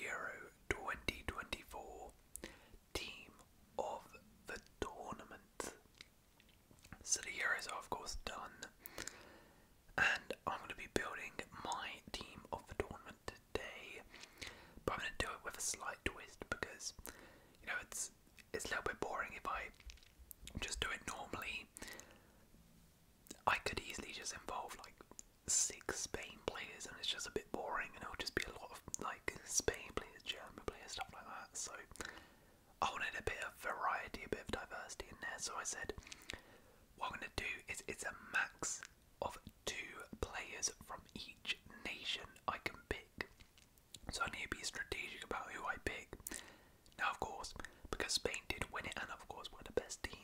Euro 2024 Team of the Tournament. So the Euros are, of course, done, and I'm going to be building my Team of the Tournament today, but I'm going to do it with a slight twist because, you know, it's it's a little bit boring if I just do it normally. I could easily just involve like six Spain players, and it's just a bit boring, and it'll just be a lot of like Spain players, German players, stuff like that. So I wanted a bit of variety, a bit of diversity in there. So I said, what I'm going to do is it's a max of two players from each nation I can pick. So I need to be strategic about who I pick. Now, of course, because Spain did win it, and of course, we're the best team.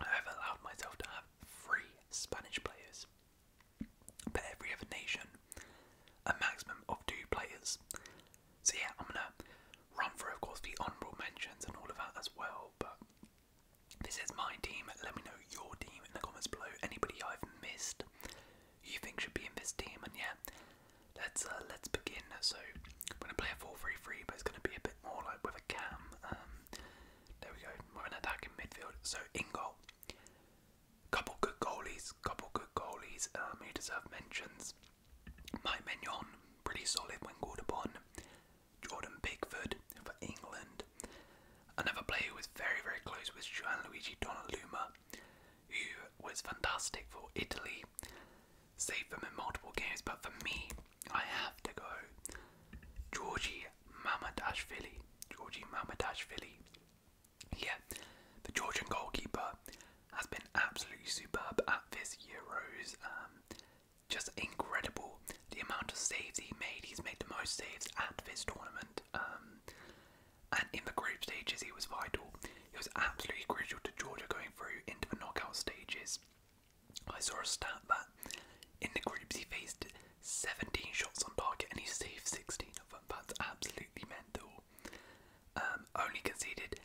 I've allowed myself to have three Spanish players but every other nation, a maximum of two players. So, yeah, I'm gonna run for, of course, the honourable mentions and all of that as well. But this is my team. Let me know your team in the comments below. Anybody I've missed you think should be in this team, and yeah, let's uh, let's begin. So, I'm gonna play a four-three-three, but it's gonna be a bit more like with a cam. Um, there we go. We're an attacking midfield. So in couple good goalies, couple good goalies. Um, who deserve mentions. Mike Mignon, pretty solid when called upon. Jordan Bigford for England. Another player who was very, very close was Gianluigi Donnarumma, who was fantastic for Italy. Saved him in multiple games, but for me, I have to go Georgi Mama Dash Philly, Mama Dash Philly, Yeah, the Georgian goalkeeper has been absolutely superb at this Euros. Um, just incredible the amount of saves he made. He's made the most saves at this tournament. Um, and in the group stages, he was vital. He was absolutely crucial to Georgia going through into the knockout stages. I saw a stat that in the groups he faced 17 shots on target and he saved 16 of them. That's absolutely mental. Um, only conceded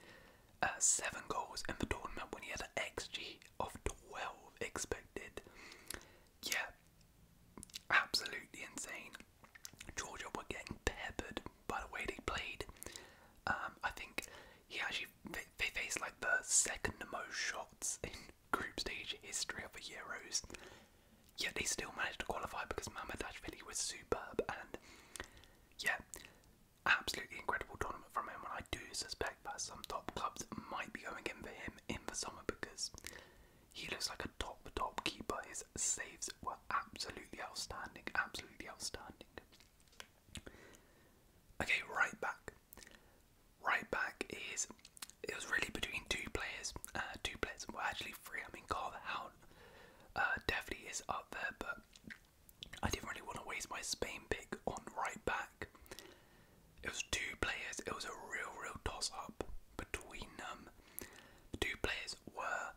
uh, 7 goals in the tournament when he had an XG of 12 expected. Yeah, absolutely insane. Georgia were getting peppered by the way they played. Um, I think he actually they faced like the second most shots in group stage history of the Euros. Yet they still managed to qualify because Mamardashvili was superb and yeah, absolutely incredible tournament from him. And I do suspect that some top clubs might be going in for him in the summer because he looks like a top top keeper. His saves were absolutely outstanding, absolutely outstanding. Okay, right back. Right back is it was really between two players, uh, two players. Well, actually three. I mean, Carver uh, definitely is up there, but I didn't really want to waste my Spain pick on right back. It was two players. It was a real, real toss-up between them. Um, the two players were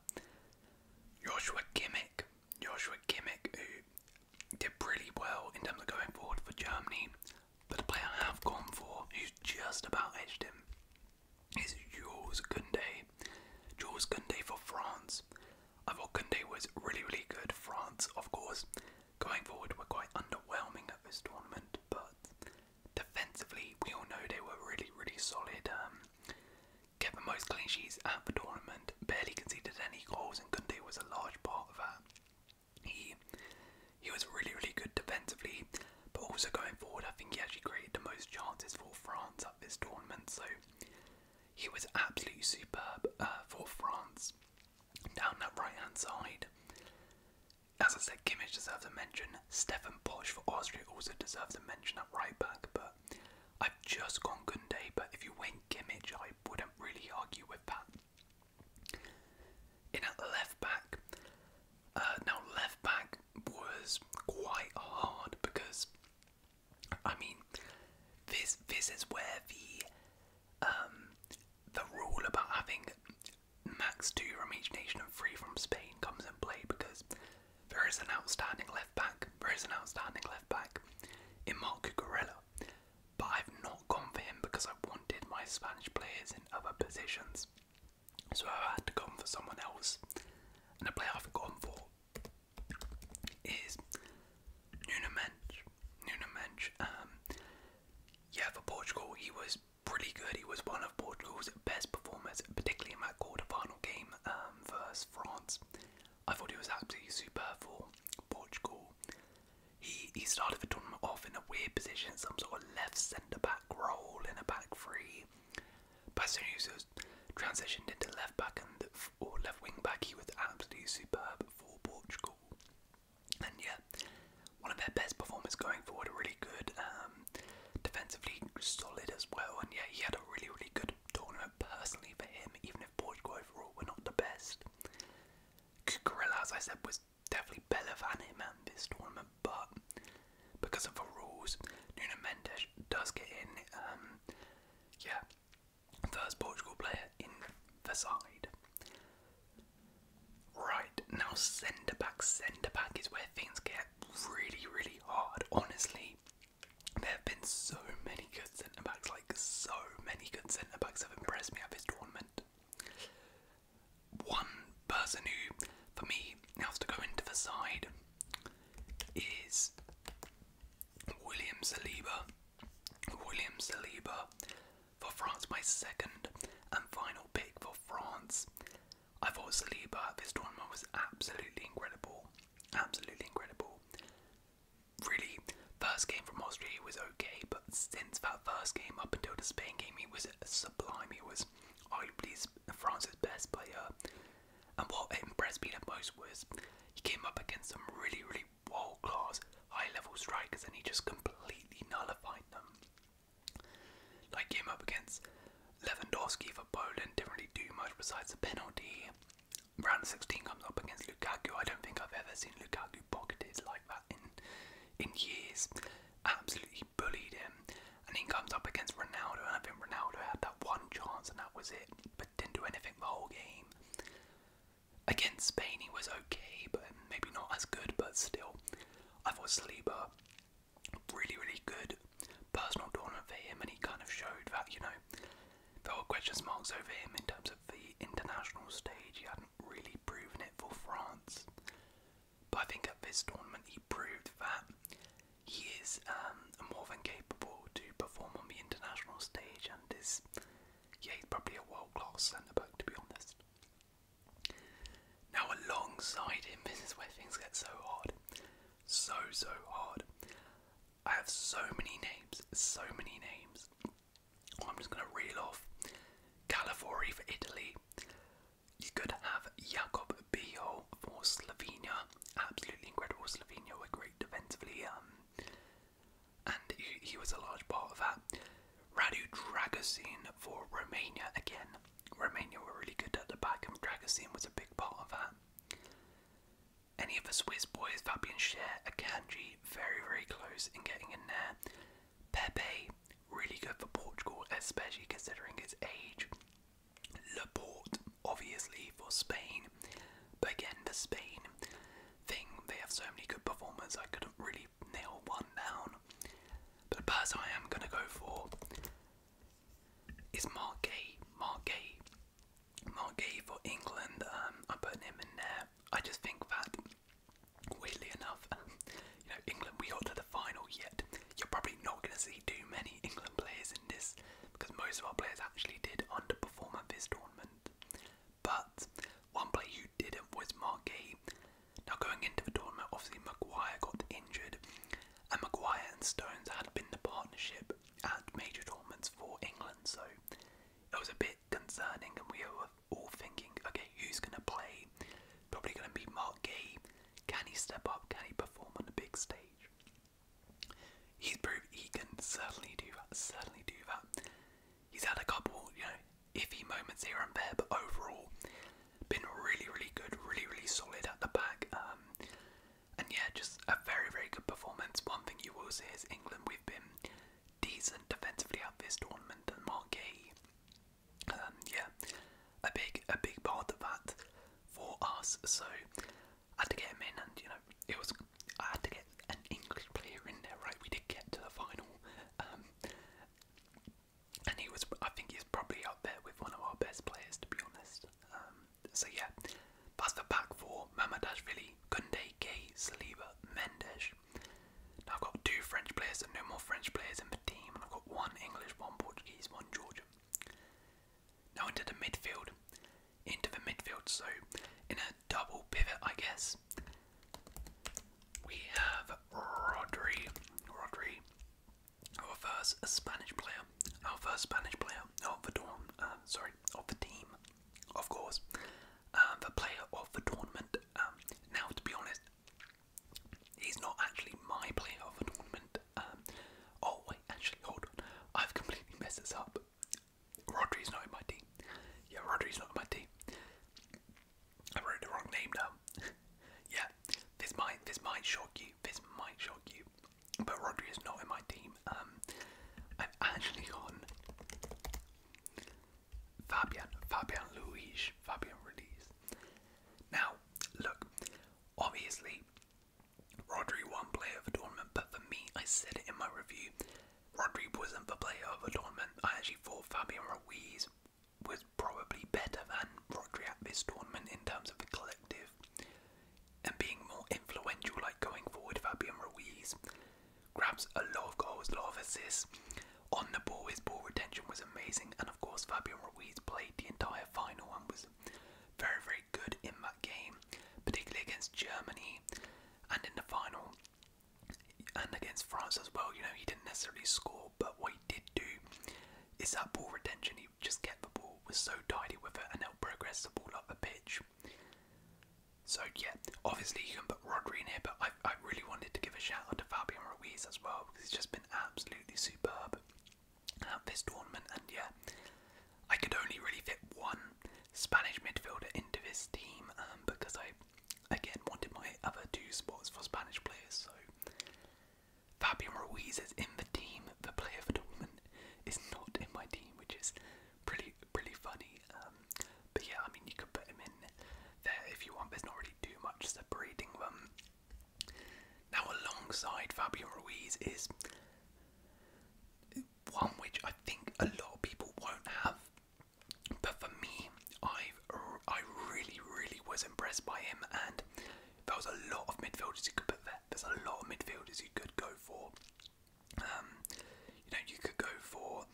Joshua Kimmich, Joshua Kimmich, who did pretty well in terms of going forward for Germany. But the player I have gone for, who's just about edged him, is Jules Koundé. Jules Koundé for France. I thought Koundé was really, really good. France, of course, going forward were quite underwhelming at this tournament, but defensively, we all know they were really, really solid. Um, kept the most clean sheets at the tournament, barely conceded any goals, and Koundé was a large part of that. He he was really really good defensively, but also going forward, I think he actually created the most chances for France at this tournament. So he was absolutely superb uh, for France down that right hand side. As I said, Kimmich deserves a mention. Stefan Posch for Austria also deserves a mention at right back, but I've just gone Gunday. But if you went Kimmich, I wouldn't really argue with that. In at left back, uh, now left back was quite hard because, I mean, this this is where the um, the rule about having max two from each nation and three from Spain comes into play because there is an outstanding left back. There is an outstanding left back in Marco Corella but I've not gone for him because I wanted my Spanish players in other positions. So I had to go for someone else. And the player I've gone for is Nuno Mensch. Nuno Mensch, um, yeah, for Portugal, he was pretty good. He was one of Portugal's best performers, particularly in that quarter-final game um, versus France. I thought he was absolutely superb for Portugal. He he started the tournament off in a weird position, some sort of left centre back role in a back three. was transitioned into left back and or left wing back. He was absolutely superb for Portugal, and yeah, one of their best performers going forward. Really good, um, defensively solid as well. And yeah, he had a really really good tournament personally for him, even if Portugal overall were not the best. Cucurella, as I said, was definitely better than him at this tournament, but because of the rules, Nuno Mendes does get in. Um, yeah, first Portugal player in the side. Right, now centre back. Centre back is where things get really, really hard. Honestly, there have been so many many good centre backs, like so many good centre backs have impressed me at this tournament. One person who, for me, has to go into the side is William Saliba. William Saliba for France, my second and final pick for France. I thought Saliba at this tournament was absolutely incredible. Absolutely incredible really, first game from Austria was okay, but since that first game up until the Spain game, he was sublime. He was arguably France's best player. And what impressed me the most was he came up against some really, really world class, high level strikers and he just completely nullified them. Like, came up against Lewandowski for Poland, didn't really do much besides a penalty. Round 16 comes up against Lukaku. I don't think I've ever seen Lukaku absolutely pocketed like that in in years. Absolutely bullied him, and he comes up against Ronaldo, and I think Ronaldo had that one chance, and that was it. But didn't do anything the whole game. Against Spain, he was okay, but maybe not as good. But still, I thought Saliba really, really good personal tournament for him, and he kind of showed that you know there were question marks over him in terms of the international stage. He hadn't really proven it for France. But I think at this tournament he proved that he is um, more than capable to perform on the international stage and is, yeah, he's probably a world class centre back to be honest. Now, alongside him, this is where things get so hard. So, so hard. I have so many names, so many names. I'm just going to reel off Califori for Italy. You could have Jakob Bio for Slovenia. Absolutely incredible. Slovenia A great defensively, um, and he, was a large part of that. Radu Dragosin for Romania again. Romania were really good at the back, and Dragosin was a big part of that. Any of the Swiss boys, Fabian Scher, Akanji, very, very close in getting in there. Pepe, really good for Portugal, especially considering his age. Laporte, obviously, for Spain. But again, the Spain thing, they have so many good performers, I couldn't really nail one down. But the person I am going to go for is Mark Gay. Mark for England. I'm um, him in there. I just think that, weirdly enough, you know, England, we got to the final yet. You're probably not going to see too many England players in this because most of our players actually did underperform at this tournament. But one player who didn't was Marquee. Now, going into the tournament, obviously Maguire got injured, and Maguire and Stones had been the partnership at major tournaments for England, so it was a bit concerning, and we were all thinking, okay, who's going to play? Probably going to be Mark Gay. Can he step up? Can he perform on the big stage? He's proved he can certainly do that. Certainly do that. He's had a couple, you know, iffy moments here and there, but overall, been really, really good, really, really solid at the back. Um, and yeah, just a very, very good performance. One thing you will see is England, we've been decent defensively out this tournament and Mark A, um, yeah, a big a big part of that for us. So I had to get him in, and you know it was I had to get an English player in there, right? We did get to the final, um, and he was I think he's probably out there with one of our best players to be honest. Um, so yeah, that's the back four. Mamadashvili Mbappe, Saliba, Mendes. Now I've got two French players and no more French players in the team, and I've got one English, one Portuguese, one Georgian. Now into the midfield. Into the midfield, so in a double pivot, I guess. We have Rodri, Rodri, our first Spanish player, our first Spanish player of the uh, team of course, um, the player of the tournament. Um, now, to be honest, he's not actually my player of the tournament. Um, oh, wait, actually, hold on. I've completely messed this up. Rodri's not in my team. Yeah, Rodri's not in my team. I wrote the wrong name down. yeah, this might this might shock you. This might shock you. But Rodri is not in my team. I'm actually on Fabian, Fabian Luiz, Fabian Ruiz. Now, look, obviously, was won player of the tournament, but for me, I said it in my review, Rodri wasn't the player of the tournament. I actually thought Fabian Ruiz was probably better than Rodri at this tournament in terms of the collective and being more influential, like going forward, Fabian Ruiz grabs a lot of goals, a lot of assists. On the ball, his ball retention was amazing, and of course, Fabio Ruiz played the entire final and was very, very good in that game, particularly against Germany and in the final and against France as well. You know, he didn't necessarily score, but what he did do is that ball retention. He just kept the ball, was so tidy with it, and helped progress the ball up the pitch. So yeah, obviously you can put Rodri in here, but I, I really wanted to give a shout out to Fabian Ruiz as well because he's just been absolutely superb at this tournament. And yeah, I could only really fit one Spanish midfielder into this team um, because I again wanted my other two spots for Spanish players. So Fabian Ruiz is in the team. The player for tournament is not in my team, which is pretty pretty funny. Um, but yeah, I mean you could put him in there if you want. There's not really too much separating them. Now alongside Fabio Ruiz is one which I think a lot of people won't have, but for me, I I really really was impressed by him, and there was a lot of midfielders you could put there. There's a lot of midfielders you could go for. Um, you know, you could go for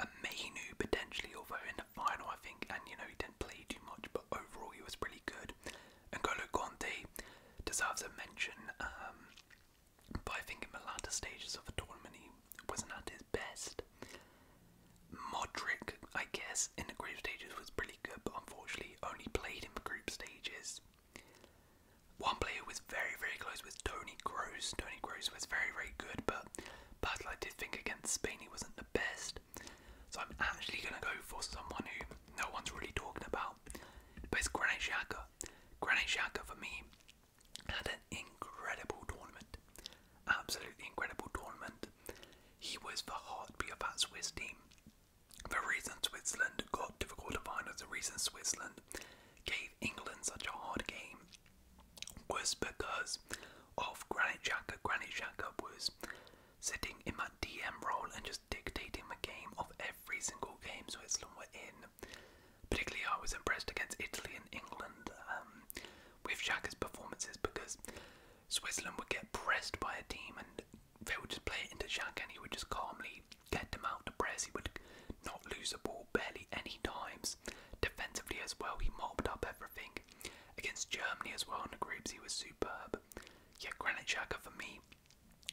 a Mainu potentially, although in the final I think, and you know, he didn't play too much, but overall he was pretty good. And Golo Conte deserves a mention, um, but I think in the latter stages of the tournament he wasn't at his best. Modric, I guess, in the group stages was pretty good, but unfortunately only played in the group stages. One player was very, very close with Tony Gross. Tony Gross was very, very good, but personally, I did think against Spain he wasn't the best. So I'm actually going to go for someone who no one's really talking about, but it's Granit Xhaka. Granit Xhaka for me had an incredible tournament, absolutely incredible tournament. He was the heartbeat of that Swiss team. The reason Switzerland got difficult to find quarterfinals, the reason Switzerland gave England such a hard game was because of Granit Xhaka. Granit Xhaka was sitting in that DM role and just dictating the game of every single game Switzerland were in. Particularly, I was impressed against Italy and England um, with Xhaka's performances because Switzerland would get pressed by a team and they would just play it into Xhaka and he would just calmly Tantamount to prayers he would not lose a ball barely any times. Defensively as well, he mopped up everything. Against Germany as well in the groups, he was superb. Yet Granit Xhaka for me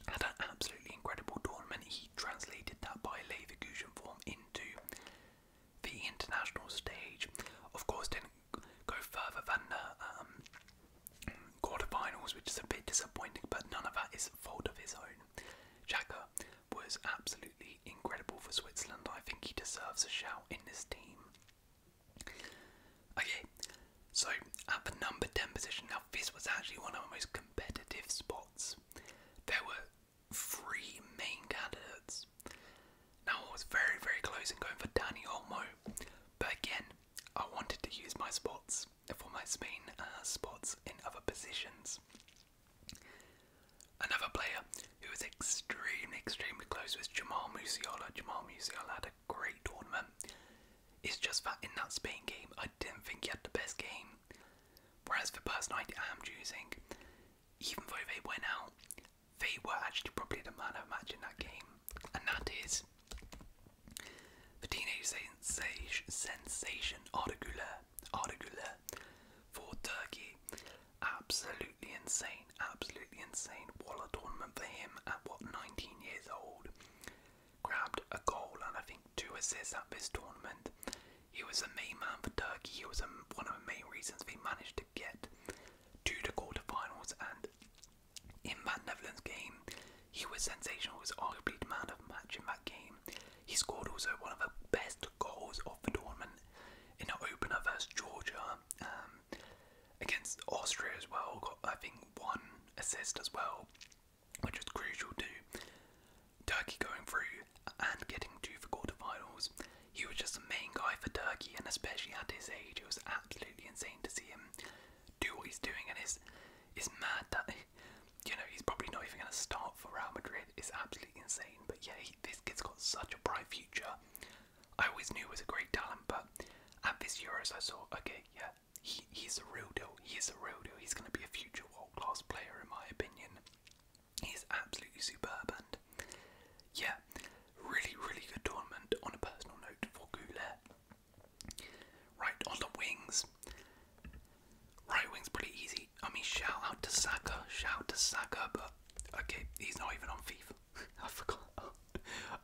had an absolutely incredible tournament. He translated that by Leverkusen form into the international stage. Of course, didn't go further than the um, quarterfinals, which is a bit disappointing, but none of that is fault of his own. Xhaka was absolutely incredible for Switzerland. I think he deserves a shout in this team. Okay, so at the number 10 position, now this was actually one of the most competitive spots. There were three main candidates. Now I was very, very close in going for Danny Olmo, but again, I wanted to use my spots for my Spain uh, spots in other positions. Another player who was extremely, extremely close was Jamal Musiala. Jamal Musiala had a great tournament. It's just that in that Spain game, I didn't think he had the best game. Whereas the person I am choosing, even though they went out, they were actually probably the man of match in that game, and that is the teenage sensation Arda Ardigula for Turkey. Absolutely insane, absolutely insane. What a tournament for him at what 19 years old. Grabbed a goal and I think two assists at this tournament. He was a main man for Turkey. He was one of the main reasons they managed to get to the quarterfinals. And in that Netherlands game, he was sensational. He was arguably the man of match in that game. He scored also one of the best goals of the tournament in an opener versus Georgia, um, against Austria as well. Got I think one assist as well, which was crucial to Turkey going through and getting to the quarterfinals. He was just the main guy for Turkey, and especially at his age, it was absolutely insane to see him do what he's doing. And it's it's mad you know, he's probably not even going to start for Real Madrid. It's absolutely insane. But yeah, this kid's got such a bright future. I always knew he was a great talent, but at this Euros, I saw, okay, yeah, he, he's a real deal. He's a real deal. He's going to be a future world class player, in my opinion. He's absolutely superb, and yeah, really, really good tournament on a personal note for Goulet. Right, on the wings, Right wing's pretty easy. I mean, shout out to Saka, shout to Saka, but okay, he's not even on FIFA. I forgot.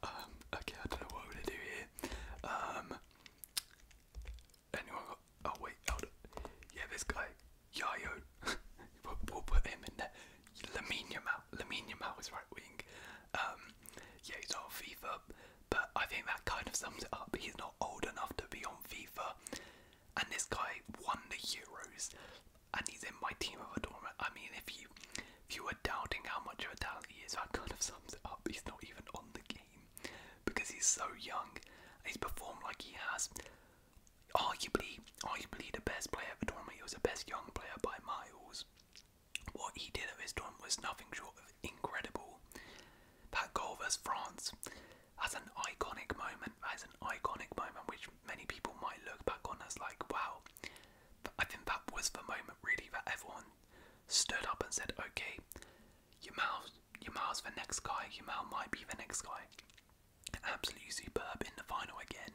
Um, okay, I don't know what we're gonna do here. Um, anyone got? Oh wait, Yeah, this guy, Yayo. we'll, put him in there. Lamine Yamal, Lamine Yamal is right wing. Um, yeah, he's on FIFA. But I think that kind of sums it up. He's not old enough to be on FIFA, and this guy won the Euros, and he's in my team of a tournament. I mean, if you if you were doubting how much of a talent he is, that kind of sums it up. He's not even on the game because he's so young. And he's performed like he has. Arguably, arguably the best player of a tournament. He was the best young player by miles. What he did at his tournament was nothing short of incredible. That goal versus France, that's an iconic moment. That's an iconic moment which many people might look back on as like, wow. I think that was the moment really that everyone stood up and said, okay, Yamal's, Yamal's the next guy. Yamal might be the next guy. Absolutely superb in the final again.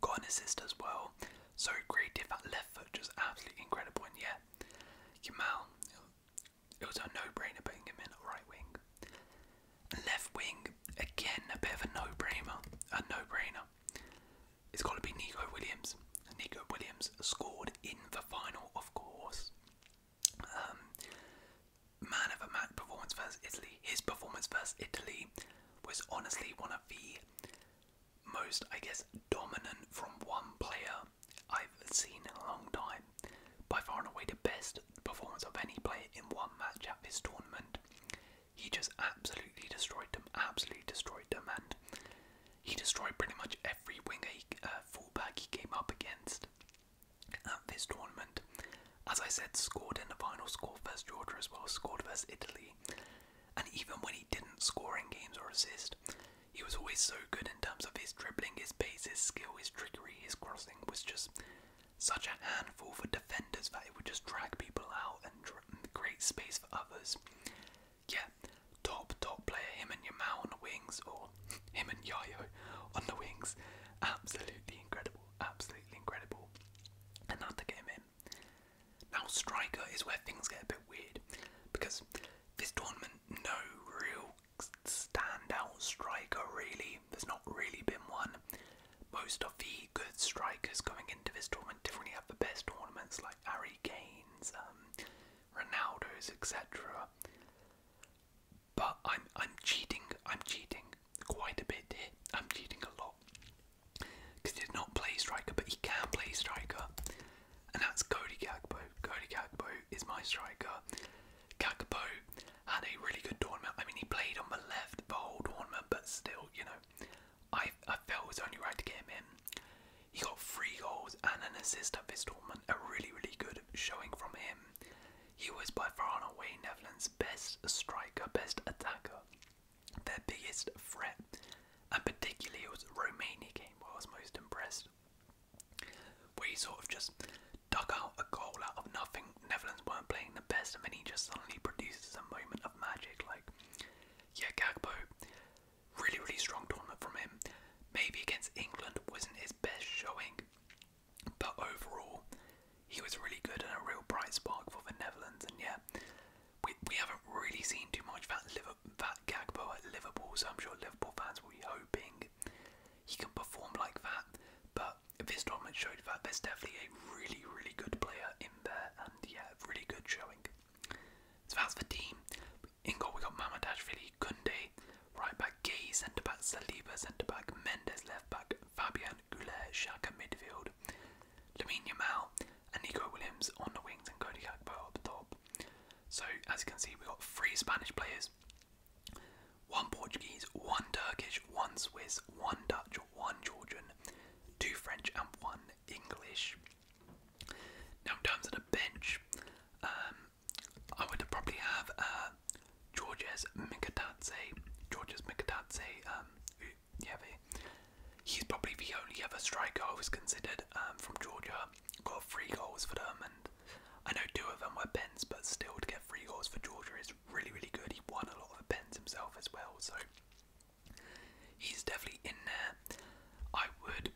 Got an assist as well. So creative. That left foot just absolutely incredible. And yeah, Yamal, it was a no-brainer putting him in at right wing. left wing, again, a bit of a no-brainer. A no-brainer. It's got to be Nico Williams. And Nico Williams scored in the final, of course. Um, man of a match performance versus Italy. His performance versus Italy was honestly one of the most, I guess, dominant from one player I've seen in a long time. By far and away the best performance of any player in one match at this tournament. He just absolutely destroyed them, absolutely destroyed them, and he destroyed pretty much every winger, he, uh, fullback he came up against at this tournament. As I said, scored in the final, scored versus Georgia as well, scored versus Italy, and even when he didn't score in games or assist, he was always so good in terms of his dribbling, his pace, his skill, his trickery, his crossing was just such a handful for defenders that it would just drag people out and create space for others. Yeah, top, top player, him and Yamal on the wings, or him and Yayo on the wings. Absolutely incredible, absolutely incredible. And now in. Now, striker is where things get a bit weird because this tournament, no real standout striker, really. There's not really been one. Most of the good strikers going into this tournament definitely have the best tournaments, like Harry Kane's, um, Ronaldo's, etc. But I'm I'm cheating. I'm cheating quite a bit here. I'm cheating a lot because he did not play striker, but he can play striker and that's Cody Gagbo. Cody Gagbo is my striker. Gagbo had a really good tournament. I mean, he played on the left the whole tournament, but still, you know, I, I felt it was only right to get him in. He got three goals and an assist at this tournament, a really, really good showing from him. He was by far and away Netherlands' best striker, best attacker, their biggest threat, and particularly it was Romania game where I was most impressed. We sort of just dug out a goal out of nothing. Netherlands weren't playing the best, and then he just suddenly produces a moment of magic. Like, yeah, Gagbo, really, really strong tournament from him. Maybe against England wasn't his best showing, but overall, he was really good and a real bright spark for the Netherlands. And yeah, we, we haven't really seen too much of that, Liverpool, that Gagbo at Liverpool, so I'm sure Liverpool fans will be hoping he can perform like that, but this tournament showed that there's definitely a really, really good player in there, and yeah, really good showing. So that's the team. In goal, we got Mamadashvili, Kunde, right back Gay, centre back Saliba, centre back Mendes, left back Fabian Goulet, Shaka midfield, Lamine Yamal, and Nico Williams on the wings, and Cody Gakpo up top. So as you can see, we've got three Spanish players, one Portuguese, one Turkish, one Swiss, one Dutch, one Georgian, two French, and one English. Now, in terms of the bench, um, I would probably have uh, Georges Mikatadze. Georges Mikatadze, um, yeah, he's probably the only other striker I was considered um, from Georgia got three goals for them, and I know two of them were pens, but still to get three goals for Georgia is really, really good. He won a lot of the pens himself as well, so he's definitely in there. I would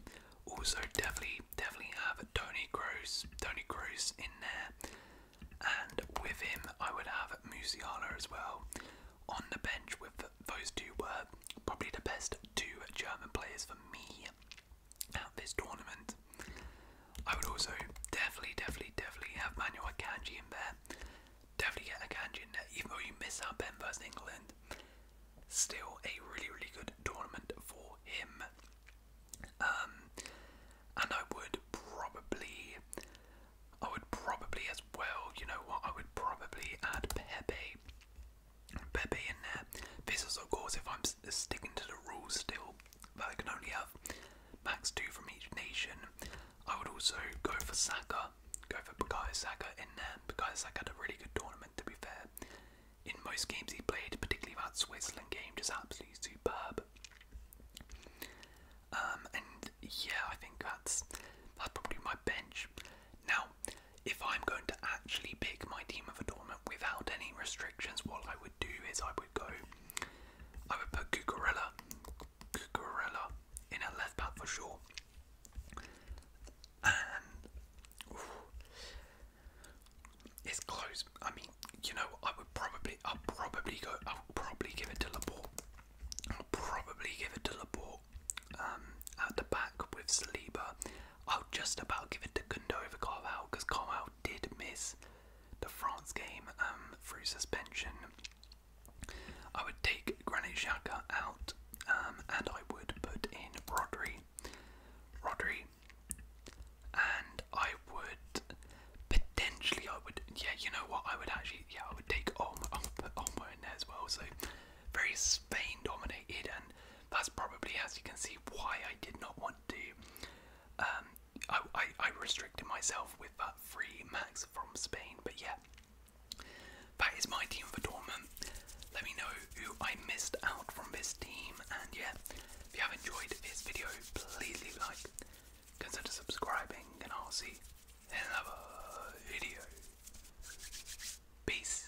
also definitely, definitely have Tony Gross, Tony Gross in there, and with him I would have Musiala as well on the bench. With those two were probably the best two German players for me at this tournament. I would also definitely, definitely, definitely have Manuel Akanji in there. Definitely get Akanji in there, even though you miss out Ben versus England. Still a really, really good tournament for him. Um, and I would probably, I would probably as well, you know what, I would probably add Pepe Pepe in there. This is, of course, if I'm sticking to the rules still, that I can only have max two from each nation. I would also go for Saka, go for Bukayo Saka in there. Because Saka had a really good tournament, to be fair. In most games he played, particularly that Switzerland game, just absolutely superb. Um, and yeah, I think that's that's probably my bench. Now if I'm going to actually pick my team of adornment without any restrictions, what I would do is I would go, I would put Cucurella, Cucurella in a left back for sure. And it's close. I mean, you know, I would probably, I'll probably go, I'll probably give it to Laporte. I'll probably give it to Laporte um, at the back with Saliba I'll oh, just about give it to Gundo over Carval because Carval did miss the France game um, through suspension. I would take Granit Xhaka out um, and I would put in Rodri. Rodri. And I would potentially, I would, yeah, you know what, I would actually, yeah, I would take Olmo, Olmo in there as well. So very Spain dominated and that's probably as you can see why I did not want to. Um, I, I, I restricted myself with that free max from Spain, but yeah, that is my team for Dortmund. Let me know who I missed out from this team, and yeah, if you have enjoyed this video, please like, consider subscribing, and I'll see you in another video. Peace.